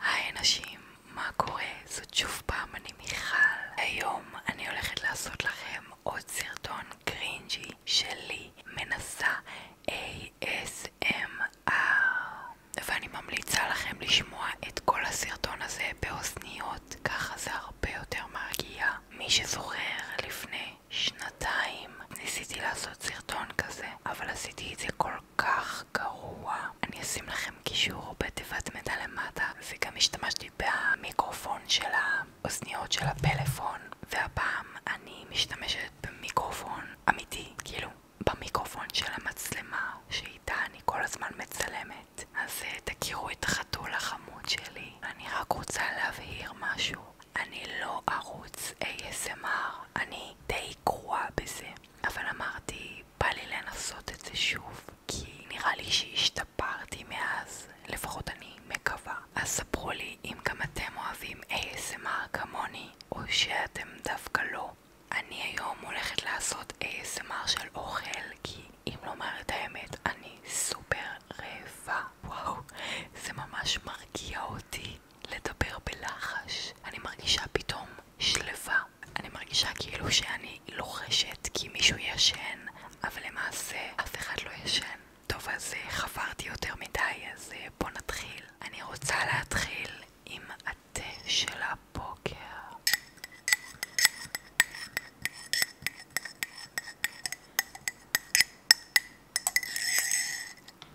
היי נשים, מה קורה? זאת שוב פעם אני מיכל. היום אני הולכת לעשות לכם עוד סרטון קרינג'י שלי מנסה לכם לשמוע את כל הזה באוזניות, ככה זה הרבה שזוכר לפני שנתיים ניסיתי לעשות סרטון כזה, אבל עשיתי את זה כל כך גרוע. אני אשים לכם קישור בתיבת מידע למטה, וגם השתמשתי במיקרופון של האוזניות של הפלאפון, והפעם אני משתמשת במיקרופון אמיתי, כאילו, במיקרופון של המצלמה שאיתה אני כל הזמן מצלמת. אז אה, תכירו את החתול החמוד שלי. אני רק רוצה להבהיר משהו. אני לא ערוץ ASMR, אני די גרועה בזה, אבל אמרתי, בא לי לנסות כי נראה לי שהשתפרתי מאז, לפחות אני מקווה. אז ספרו לי אם כמוני, או שאתם דווקא לא. אני היום הולכת לעשות ASMR של אוכל, כי אם לומר את האמת, אני סופר רעבה. וואו, זה ממש מרגיע אותי לדבר בלחש. אני מרגישה פתאום שלווה. אני מרגישה כאילו שאני לוחשת כי מישהו ישן, אבל למעשה אף אחד לא ישן. טוב, אז אה, חפרתי יותר מדי, אז אה, בוא נתחיל. אני רוצה להתחיל עם התה של הבוקר.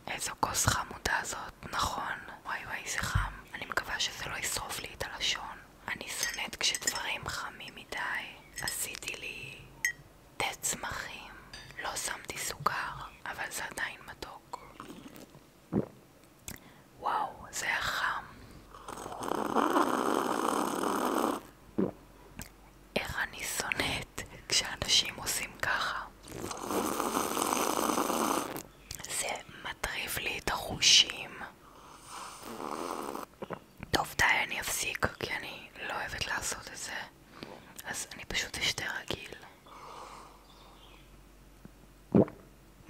איזו כוס חמודה זאת, נכון. וואי וואי זה חם. אני מקווה שזה לא ישרוף לי את הלשון. אני שונאת כשדברים חמים מדי. עשיתי לי תה צמחים. לא שמתי סוכר, אבל זה עדיין מתוק. וואו, זה היה חם. איך אני שונאת כשאנשים עושים ככה. זה מטריף לי את החושים. טוב, די, אני אפסיק, כי אני לא אוהבת לעשות את זה. אז אני פשוט אשתה רגיל.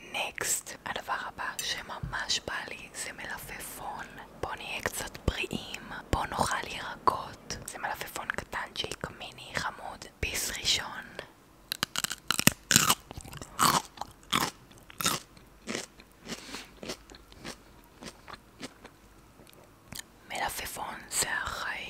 נקסט, הדבר הבא שממש בא לי זה מלפפון. בוא נהיה קצת בריאים, בוא נאכל ירקות. זה מלפפון קטנצ'יק, מיני, חמוד, ביס ראשון. מלפפון זה החיים.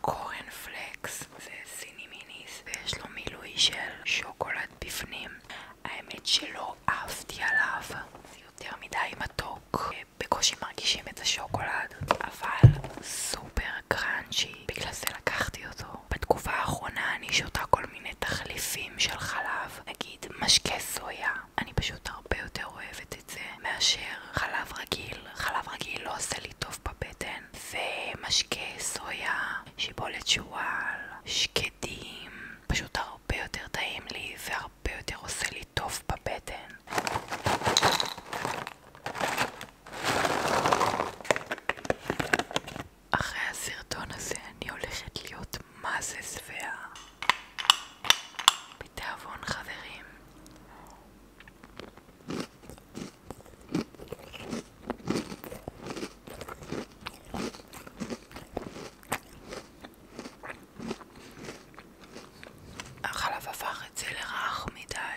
קורנפלקס וסיני מיניס ויש לו מילוי של שוקולד בפנים האמת שלא אהבתי עליו זה יותר מדי מתוק בקושי מרגישים את השוקולד אבל סופר קראנצ'י בגלל זה לקחתי אותו בתקופה האחרונה אני שותה כל מיני תחליפים של חלב נגיד משקה סויה אני פשוט הרבה יותר אוהבת את זה מאשר חלב רגיל חלב רגיל לא עושה לי טוב עוף בבטן ומשקה סויה, שיבולת שועל, שקדים פשוט הרבה יותר טעים לי והרבה יותר עושה לי טוב בבטן אחרי הסרטון הזה אני הולכת להיות מה זה שבעה החלב הפך את זה לרך מדי.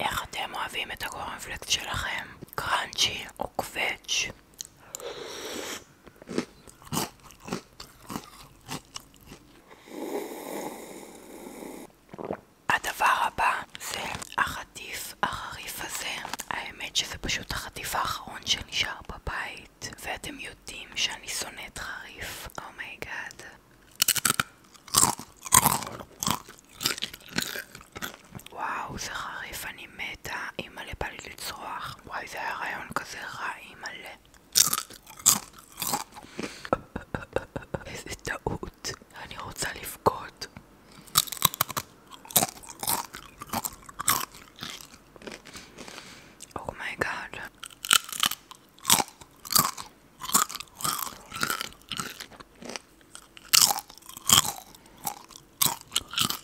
איך אתם אוהבים את הקורנפלקס שלכם? קראנצ'י או קווץ'? הדבר הבא זה החטיף החריף הזה. האמת שזה פשוט החטיף האחרון שנשאר בבית, ואתם יודעים שאני שונאת חריף. אומייגאד. Oh וואו, זה חריף, אני מתה. אימא'לה, בא לי לצרוח. וואי, זה היה רעיון כזה רע, אימא'לה. איזה טעות. אני רוצה לבכות. אומייגאד. Oh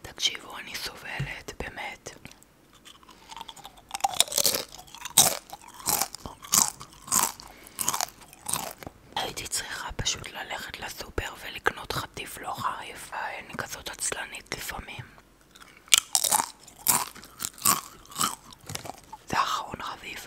תקשיבו, אני סובלת, באמת. הייתי צריכה פשוט ללכת לסופר ולקנות חטיף לא חריף, אני כזאת עצלנית לפעמים. זה אחרון חביב.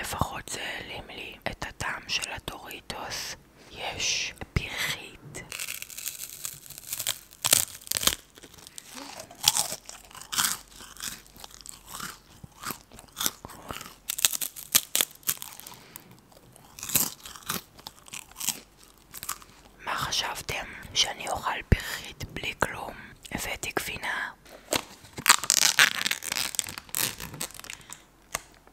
לפחות זה העלים לי את הטעם של הדוריטוס. יש פרחית. מה חשבתם? שאני אוכל פרחית בלי כלום? הבאתי גבינה.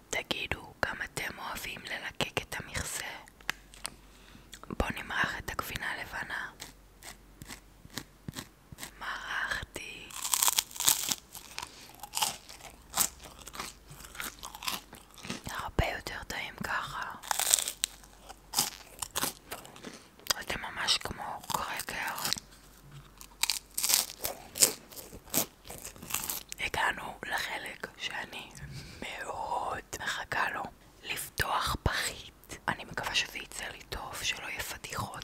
תגידו, גם אתם אוהבים ללקק את המכסה? בואו נמרח את הגבינה לבנה. מרחתי. הרבה יותר טעים ככה. זה ממש כמו קרקר. הגענו לחלק שאני מאוד מחכה לו לפתוח פחית. אני מקווה שזה יצא לי טוב, שלא יהיה פדיחות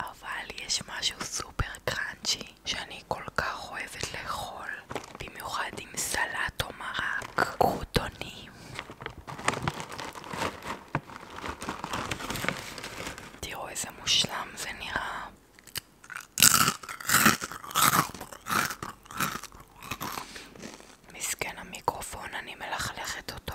אבל יש משהו סופר קראנצ'י שאני כל כך אוהבת לאכול, במיוחד עם סלט או מרק, קרוטונים. תראו איזה מושלם זה נראה. מסכן המיקרופון, אני מלכלכת אותו.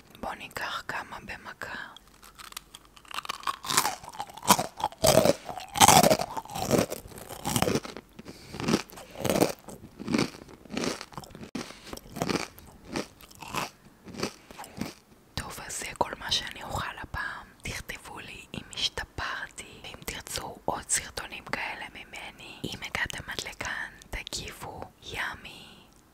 בואו ניקח כמה במכה. טוב, אז זה כל מה שאני אוכל הפעם. תכתבו לי אם השתפרתי, ואם תרצו עוד סרטונים כאלה ממני. אם הגעתם עד לכאן, תגיבו ימי.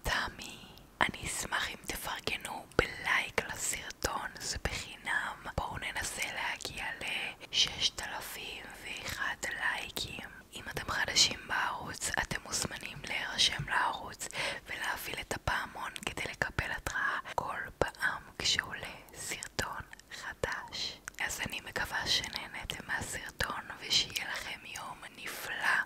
תמי, אני אשמח אם תפרגנו בלייק לסרטון, זה בחינם. בואו ננסה להגיע ל-6001 לייקים. אם אתם חדשים בערוץ, אתם מוזמנים להירשם לערוץ ולהפעיל את הפעמון כדי לקבל התראה כל פעם כשעולה סרטון חדש. אז אני מקווה שנהנתם מהסרטון ושיהיה לכם יום נפלא.